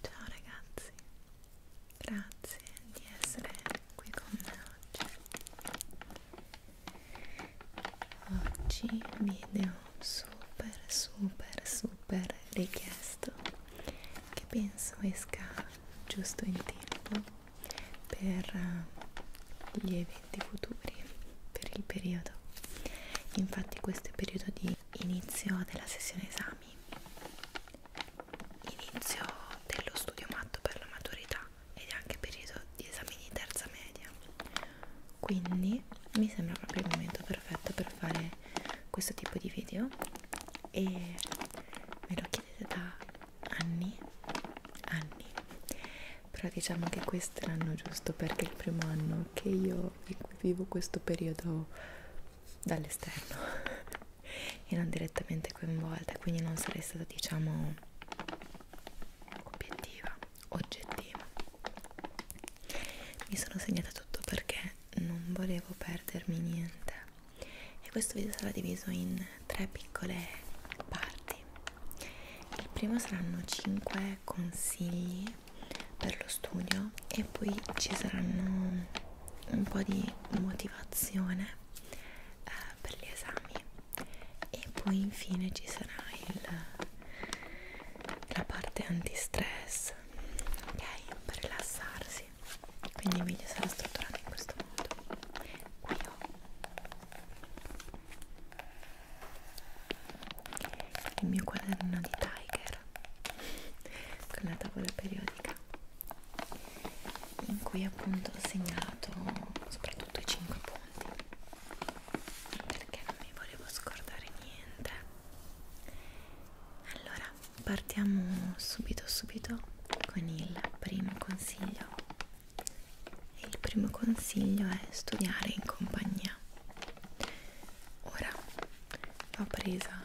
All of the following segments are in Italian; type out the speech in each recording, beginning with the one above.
Ciao ragazzi, grazie di essere qui con me oggi. Oggi video super super super richiesto che penso esca giusto in tempo per eh, gli eventi futuri per il periodo infatti questo è il periodo di inizio della sessione esami inizio dello studio matto per la maturità ed è anche periodo di esami di terza media quindi mi sembra proprio il momento perfetto per fare questo tipo di video e ve lo chiedete da anni anni però diciamo che questo è l'anno giusto perché è il primo anno che io in cui vivo questo periodo dall'esterno e non direttamente coinvolta quindi non sarei stata diciamo obiettiva oggettiva mi sono segnata tutto perché non volevo perdermi niente e questo video sarà diviso in tre piccole parti il primo saranno 5 consigli per lo studio e poi ci saranno un po' di motivazione eh, per gli esami e poi infine ci sarà il, la parte anti-stress ok per rilassarsi avanti quindi il video sarà strutturato in questo modo qui ho il mio quaderno di Tiger con la tavola periodica in cui appunto ho segnato soprattutto i 5 punti perché non mi volevo scordare niente allora partiamo subito subito con il primo consiglio consiglio e il primo consiglio è studiare in compagnia ora l'ho presa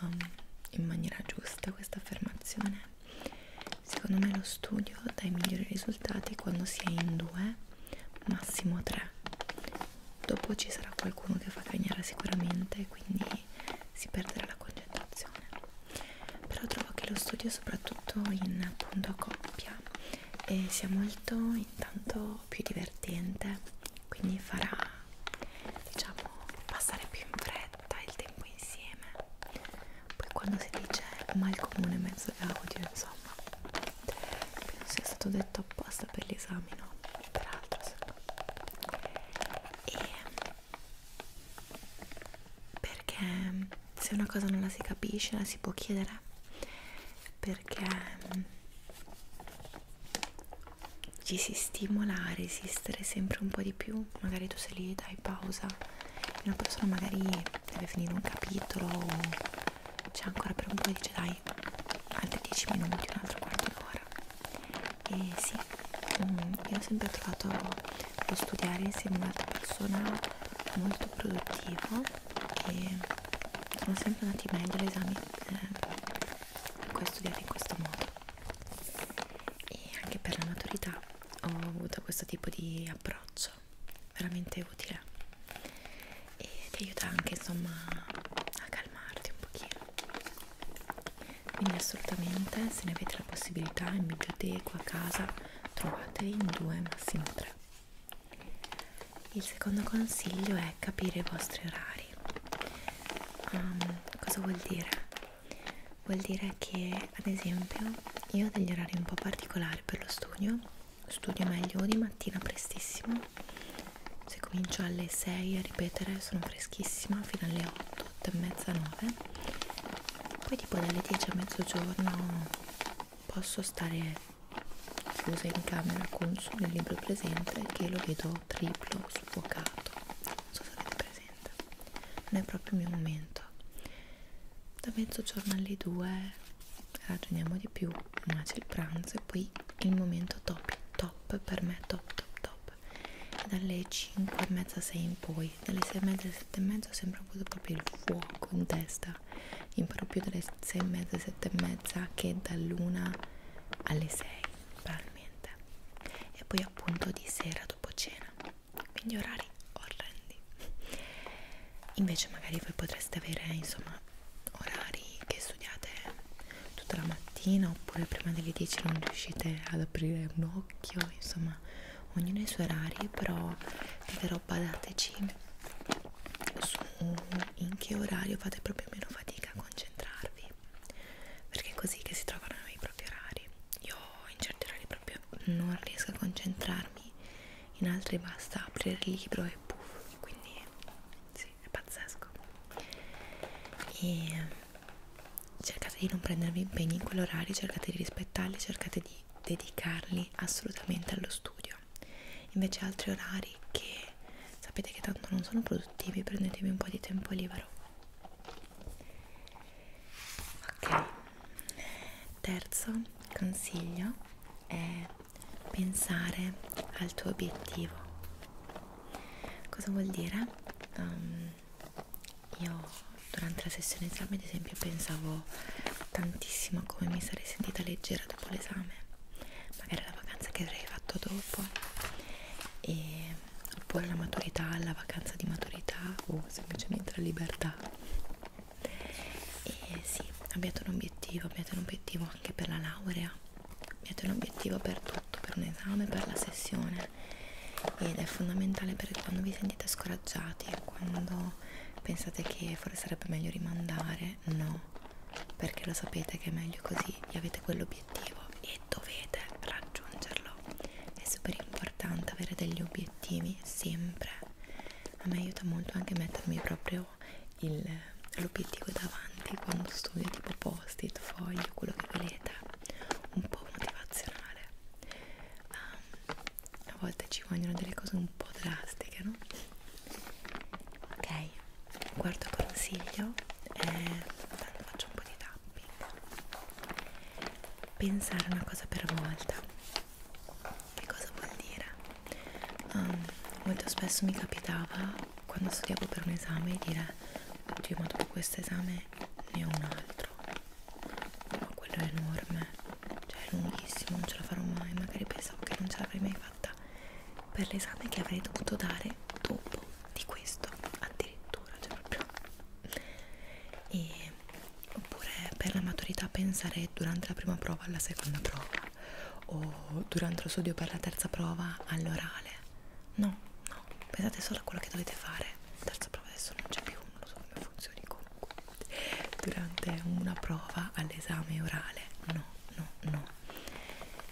um, in maniera giusta questa affermazione secondo me lo studio dà i migliori risultati quando si è in due massimo tre dopo ci sarà qualcuno che fa cagnare sicuramente quindi si perderà la concentrazione però trovo che lo studio soprattutto in appunto a coppia eh, sia molto intanto più divertente quindi farà diciamo passare più in fretta il tempo insieme poi quando si dice mal comune mezzo gaudio insomma non sia stato detto apposta per l'esame no peraltro se no e perché se una cosa non la si capisce la si può chiedere perché ci si stimola a resistere sempre un po' di più magari tu sei lì dai pausa una persona magari deve finire un capitolo c'è ancora per un po' e dice dai altri 10 minuti un altro quarto d'ora e sì, mm, io ho sempre trovato lo studiare insieme ad un'altra persona molto produttivo e sono sempre andati meglio gli esami eh, studiare in questo modo e anche per la maturità ho avuto questo tipo di approccio veramente utile e ti aiuta anche insomma a calmarti un pochino quindi assolutamente se ne avete la possibilità in biblioteca a casa trovateli in due massimo tre il secondo consiglio è capire i vostri orari um, cosa vuol dire vuol dire che ad esempio io ho degli orari un po' particolari per lo studio studio meglio di mattina prestissimo se comincio alle 6 a ripetere sono freschissima fino alle 8 8 e mezza 9 poi tipo dalle 10 a mezzogiorno posso stare chiusa in camera con solo il libro presente che lo vedo triplo sfocato non so se avete presente non è proprio il mio momento da mezzogiorno alle 2 ragioniamo di più ma c'è il pranzo e poi il momento top top per me top top top dalle 5 e mezza 6 in poi dalle 6 e mezza 7 e mezza sembra proprio il fuoco in testa imparo più dalle 6 e mezza 7 e mezza che dall'una alle 6 probabilmente e poi appunto di sera dopo cena quindi orari orrendi invece magari voi potreste avere insomma orari che studiate tutta la mattina oppure prima delle 10 non riuscite ad aprire un occhio insomma ognuno ha i suoi orari però davvero badateci su in che orario fate proprio meno fatica a concentrarvi perché è così che si trovano i propri orari io in certi orari proprio non riesco a concentrarmi in altri basta aprire il libro e puff quindi sì, è pazzesco e cercate di non prendervi impegni in quell'orario, cercate di rispettarli, cercate di dedicarli assolutamente allo studio. Invece altri orari che sapete che tanto non sono produttivi, prendetevi un po' di tempo libero. Ok, terzo consiglio è pensare al tuo obiettivo. Cosa vuol dire? Um, io durante la sessione esame ad esempio pensavo tantissimo a come mi sarei sentita leggera dopo l'esame magari la vacanza che avrei fatto dopo e, oppure la maturità, la vacanza di maturità o semplicemente la libertà e sì, abbiate un obiettivo, abbiate un obiettivo anche per la laurea abbiate un obiettivo per tutto, per un esame, per la sessione ed è fondamentale perché quando vi sentite scoraggiati e quando pensate che forse sarebbe meglio rimandare, no, perché lo sapete che è meglio così, avete quell'obiettivo e dovete raggiungerlo. È super importante avere degli obiettivi sempre. A me aiuta molto anche mettermi proprio l'obiettivo davanti quando studio tipo post-it, foglio, quello che volete, un po' motivazionale. Um, a volte ci vogliono delle cose un po' drastiche, no? Ok, quarto consiglio è, tanto faccio un po' di tapping, pensare una cosa per volta. Che cosa vuol dire? Um, molto spesso mi capitava quando studiavo per un esame dire oddio ma dopo questo esame né un altro ma quello è enorme cioè è lunghissimo non ce la farò mai magari pensavo che non ce l'avrei mai fatta per l'esame che avrei dovuto dare dopo di questo addirittura cioè proprio e oppure per la maturità pensare durante la prima prova alla seconda prova o durante lo studio per la terza prova all'orale no no pensate solo a quello che dovete fare dal falsa prova adesso non c'è più, non lo so come funzioni comunque durante una prova all'esame orale no, no, no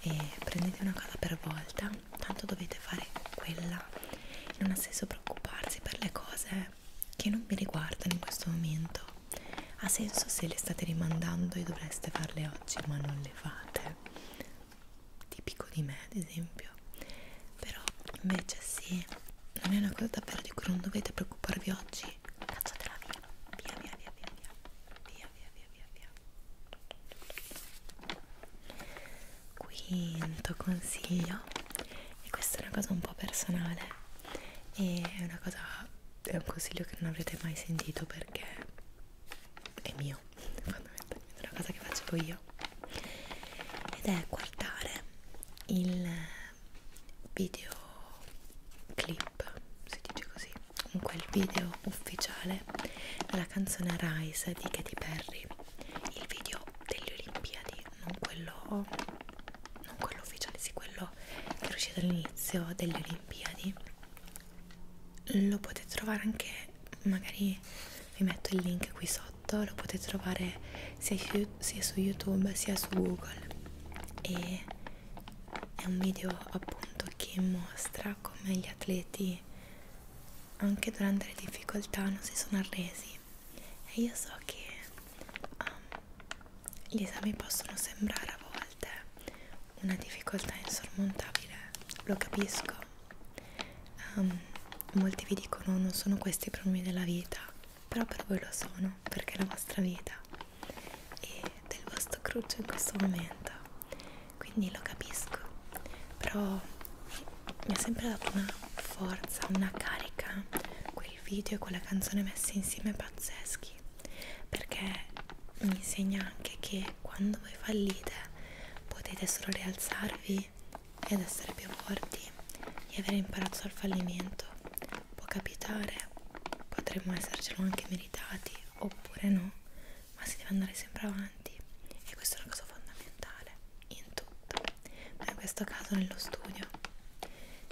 e prendete una cosa per volta tanto dovete fare quella e non ha senso preoccuparsi per le cose che non vi riguardano in questo momento ha senso se le state rimandando e dovreste farle oggi ma non le fate tipico di me ad esempio proprio però invece sì non è una cosa davvero di cui non dovete preoccuparvi oggi cacciatela via via via via via via via via via via quinto consiglio e questa è una cosa un po' personale e è una cosa è un consiglio che non avrete mai sentito perché è mio fondamentalmente è una cosa che facevo io libro ed è guardare il videoclip, si dice così, comunque il video ufficiale della canzone Rise di Katy Perry, il video delle Olimpiadi, non quello, non quello ufficiale, sì quello che è uscito all'inizio delle Olimpiadi. Lo potete trovare anche magari vi metto il link qui sotto lo potete trovare sia, sia su youtube sia su google e è un video appunto che mostra come gli atleti anche durante le difficoltà non si sono arresi e io so che um, gli esami possono sembrare a volte una difficoltà insormontabile, lo capisco, um, molti vi dicono non sono questi i problemi della vita però per voi lo sono perché è la vostra vita e del vostro cruccio in questo momento quindi lo capisco però mi ha sempre dato una forza una carica quel video e quella canzone messi insieme pazzeschi perché mi insegna anche che quando voi fallite potete solo rialzarvi e ad essere più forti e aver imparato dal fallimento. Può capitare, potremmo essercelo anche meritati oppure no, ma si deve andare sempre avanti e questa è una cosa fondamentale in tutto, ma in questo caso nello studio.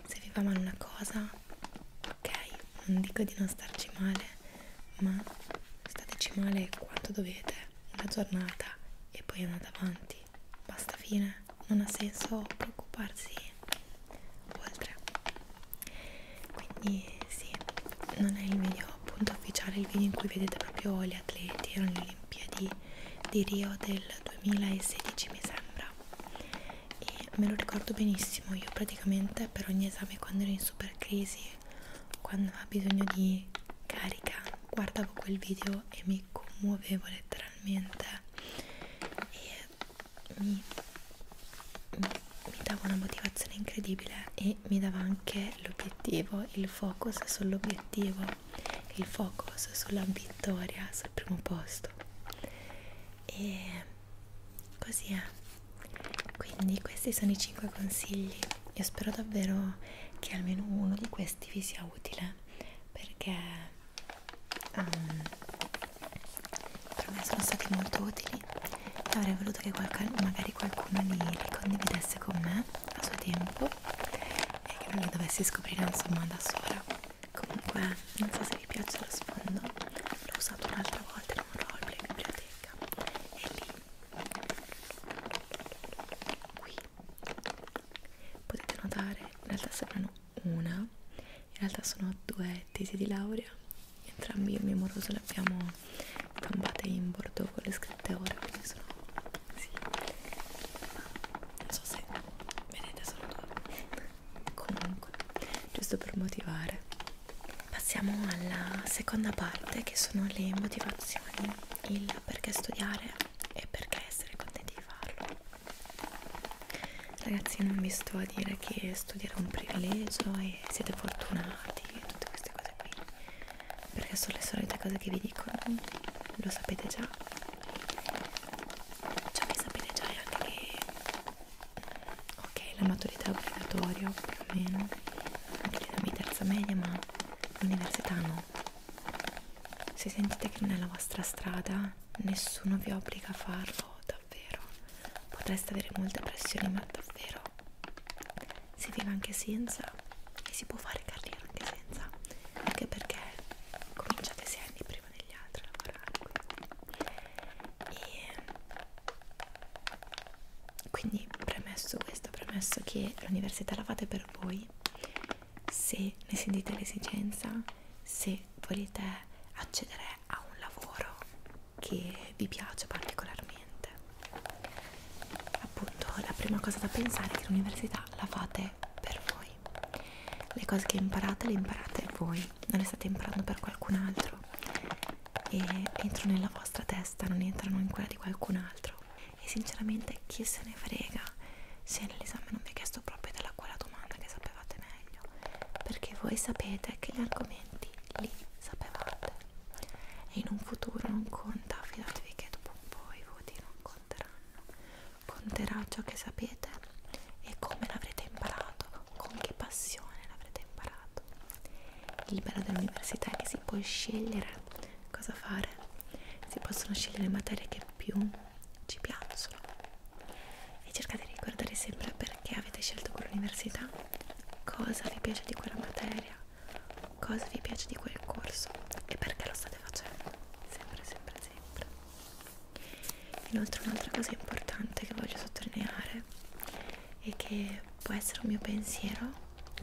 Se vi va male una cosa, ok, non dico di non starci male, ma stateci male quanto dovete, una giornata e poi andate avanti. Basta fine non ha senso preoccuparsi oltre quindi sì non è il video appunto ufficiale il video in cui vedete proprio gli atleti erano le Olimpiadi di Rio del 2016 mi sembra e me lo ricordo benissimo io praticamente per ogni esame quando ero in super crisi quando avevo bisogno di carica guardavo quel video e mi commuovevo letteralmente letteralmente e mi, mi, mi dava una motivazione incredibile e mi dava anche l'obiettivo, il focus sull'obiettivo, il focus sulla vittoria, sul primo posto e così è quindi questi sono i 5 consigli io spero davvero che almeno uno di questi vi sia utile perché um, per me sono stati molto utili e avrei voluto che qualche, magari qualcuno li, li condividesse con me a suo tempo e che non li dovessi scoprire insomma da sola comunque non so se vi piace lo sfondo l'ho usato un'altra volta in un roll in biblioteca e lì qui potete notare in realtà saranno una in realtà sono due tesi di laurea entrambi io e mio moroso le abbiamo campate in bordo con le scritte ora quindi sono sì non so se vedete sono due comunque giusto per motivare passiamo alla seconda parte che sono le motivazioni il perché studiare e perché essere contenti di farlo ragazzi non vi sto a dire che studiare è un privilegio e siete fortunati e tutte queste cose qui perché sono le solite cose che vi dicono lo sapete già ciò cioè, che sapete già è anche che ok la maturità è obbligatoria più o meno anche la mia terza media ma l'università no se sentite che non è la vostra strada nessuno vi obbliga a farlo davvero potreste avere molte pressioni ma davvero si vive anche senza e si può fare carriera anche senza anche perché cominciate sei anni prima degli altri a lavorare e quindi premesso questo premesso che l'università la fate per voi se ne sentite l'esigenza, se volete accedere a un lavoro che vi piace particolarmente. Appunto, la prima cosa da pensare è che l'università la fate per voi. Le cose che imparate le imparate voi, non le state imparando per qualcun altro e entrano nella vostra testa, non entrano in quella di qualcun altro. E sinceramente chi se ne frega se nell'esame non vi è chiesto proprio della quella domanda che sapevate meglio perché voi sapete che gli argomenti li sapevate e in un futuro non conta fidatevi che dopo un po' i voti non conteranno conterà ciò che sapete e come l'avrete imparato con che passione l'avrete imparato il bello dell'università è che si può scegliere cosa fare si possono scegliere materie che più ci piacciono e cercate di ricordare sempre perché avete scelto quell'università, cosa vi piace di quella materia, cosa vi piace di quel corso e perché lo state facendo, sempre, sempre, sempre. Inoltre un'altra cosa importante che voglio sottolineare e che può essere un mio pensiero,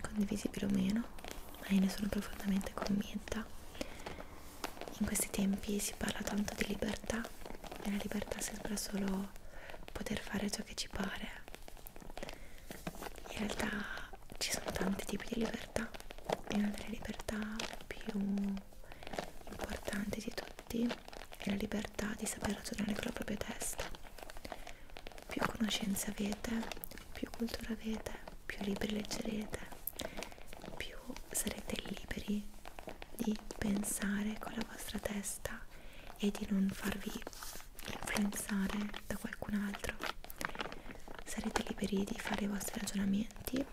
condivisibile o meno, ma io ne sono profondamente convinta, in questi tempi si parla tanto di libertà, nella libertà sembra solo poter fare ciò che ci pare. In realtà ci sono tanti tipi di libertà e una delle libertà più importanti di tutti è la libertà di saper ragionare con la propria testa. Più conoscenze avete, più cultura avete, più libri leggerete più sarete liberi di pensare con la vostra testa e di non farvi influenzare da qualcun altro sarete liberi di fare i vostri ragionamenti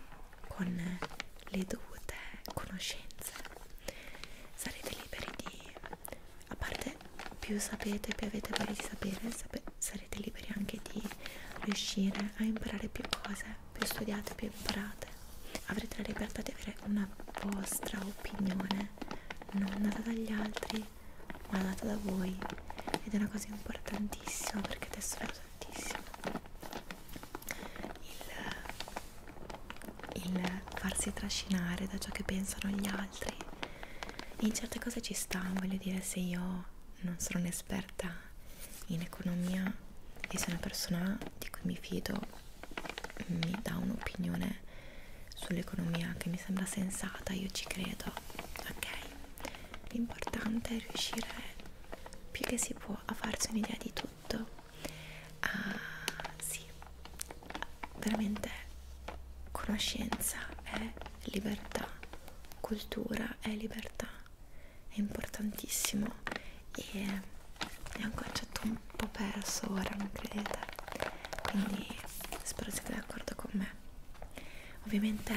con le dovute conoscenze sarete liberi di a parte più sapete più avete voglia di sapere sape, sarete liberi anche di riuscire a imparare più cose, più studiate, più imparate. Avrete la libertà di avere una vostra opinione, non data dagli altri, ma data da voi. Ed è una cosa importantissima perché adesso è tantissimo. Il, il farsi trascinare da ciò che pensano gli altri. In certe cose ci sta, voglio dire, se io non sono un'esperta in economia e se una persona di cui mi fido mi dà un'opinione sull'economia che mi sembra sensata, io ci credo, ok? L'importante è riuscire più che si può a farsi un'idea di tutto, a ah, sì, veramente conoscenza è libertà, cultura è libertà è importantissimo e è un concetto cioè, un po' perso ora, non credete? Quindi spero siate d'accordo con me. Ovviamente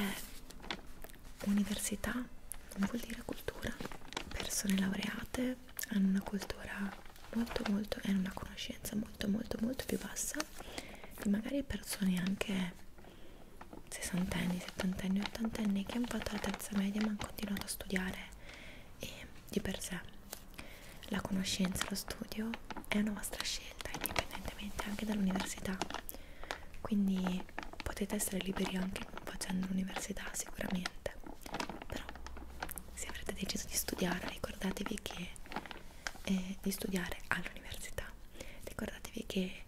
università non vuol dire cultura, persone laureate hanno una cultura molto molto e una conoscenza molto molto molto più bassa di magari persone anche sessantenni, settantenni, ottantenni che hanno fatto la terza media ma hanno continuato a studiare e di per sé la conoscenza e lo studio è una vostra scelta indipendentemente anche dall'università quindi potete essere liberi anche facendo l'università sicuramente però se avrete deciso di studiare ricordatevi che eh, di studiare all'università ricordatevi che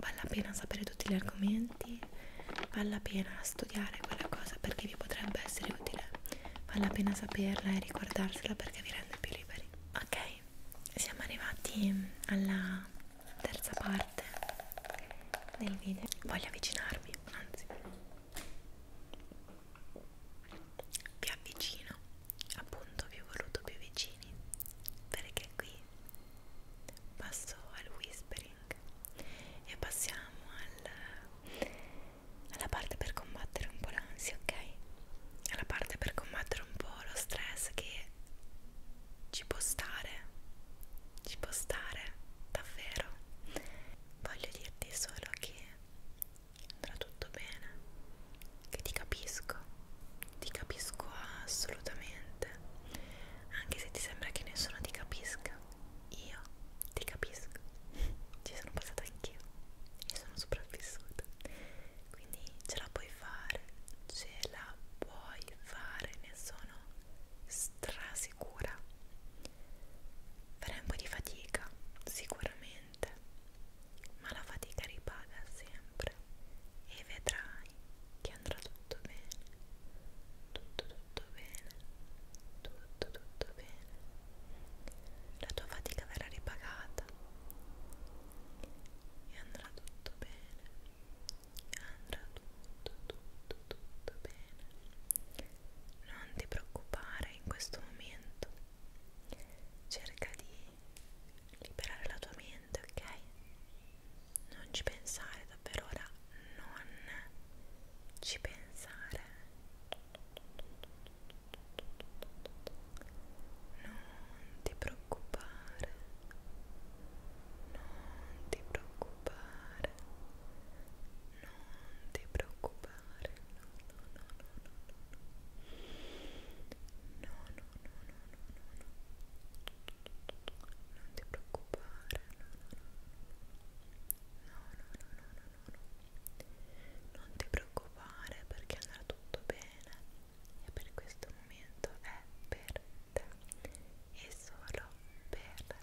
vale la pena sapere tutti gli argomenti vale la pena studiare quella cosa perché vi potrebbe essere utile vale la pena saperla e ricordarsela perché vi rende più liberi ok siamo arrivati alla terza parte del video voglio avvicinarmi anzi vi avvicino appunto vi ho voluto più vicini perché qui passo al whispering e passiamo al, alla parte per combattere un po' l'ansia, ok? Alla parte per combattere un po' lo stress che ci può stare, ci può stare davvero. Voglio dirti solo che andrà tutto bene, che ti capisco ti capisco assolutamente anche se ti sembra che nessuno ti capisca io ti capisco ci sono passata anch'io e sono sopravvissuta quindi ce la puoi fare ce la puoi fare ne sono strasicura farai un po' di fatica sicuramente ma la fatica ripaga sempre e vedrai che andrà tutto tutto bene, tutto tutto bene, tutto tutto bene, la tua fatica verrà ripagata e andrà tutto bene, andrà tutto tutto tutto bene, non ti preoccupare in questo momento, cerca di liberare la tua mente, ok? non ci pensare davvero ora non ci pensare non ti preoccupare non ti preoccupare non ti preoccupare no no no no no no no no no no no no no no non ti preoccupare no no no no no no no no non ti preoccupare perché andrà tutto bene e per questo momento è per te e solo per te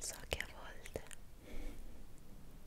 So che a volte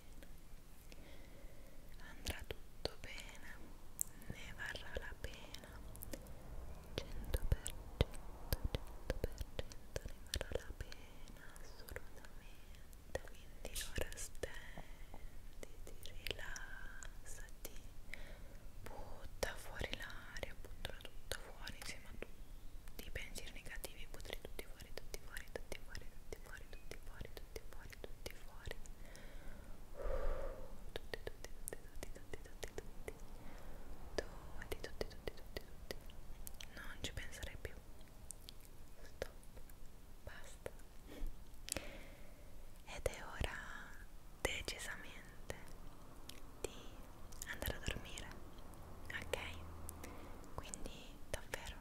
bene, andrà tutto bene, ne varrà la pena, 100%, 100%, 100% ne varrà la pena, assolutamente, quindi ora stenditi, rilassati, butta fuori l'aria, buttala tutta fuori insieme a tutti i pensieri negativi, buttali tutti fuori, tutti fuori, tutti fuori, tutti fuori, tutti fuori, tutti fuori, tutti fuori. Tutti, tutti, tutti, tutti, tutti, tutti. Tutti, tutti, tutti, tutti, tutti. Non ci penserei più. Stop. Basta. Ed è ora decisamente di andare a dormire. Ok? Quindi davvero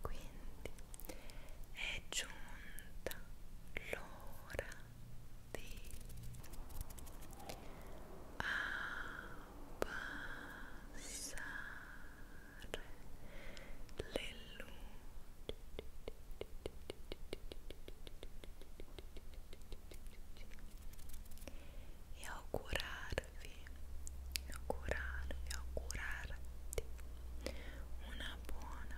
quindi è giunta l'ora di abbassare le luci e augurarvi, augurarvi, augurarti una buona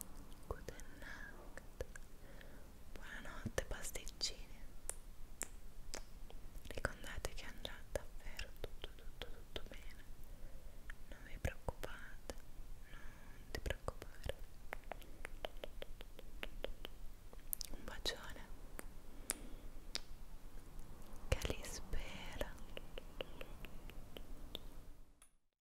Good night. Buonanotte pasticcini. Ricordate che andrà davvero tutto tutto tutto bene. Non vi preoccupate, non ti preoccupare. Un bacione. Che li spera.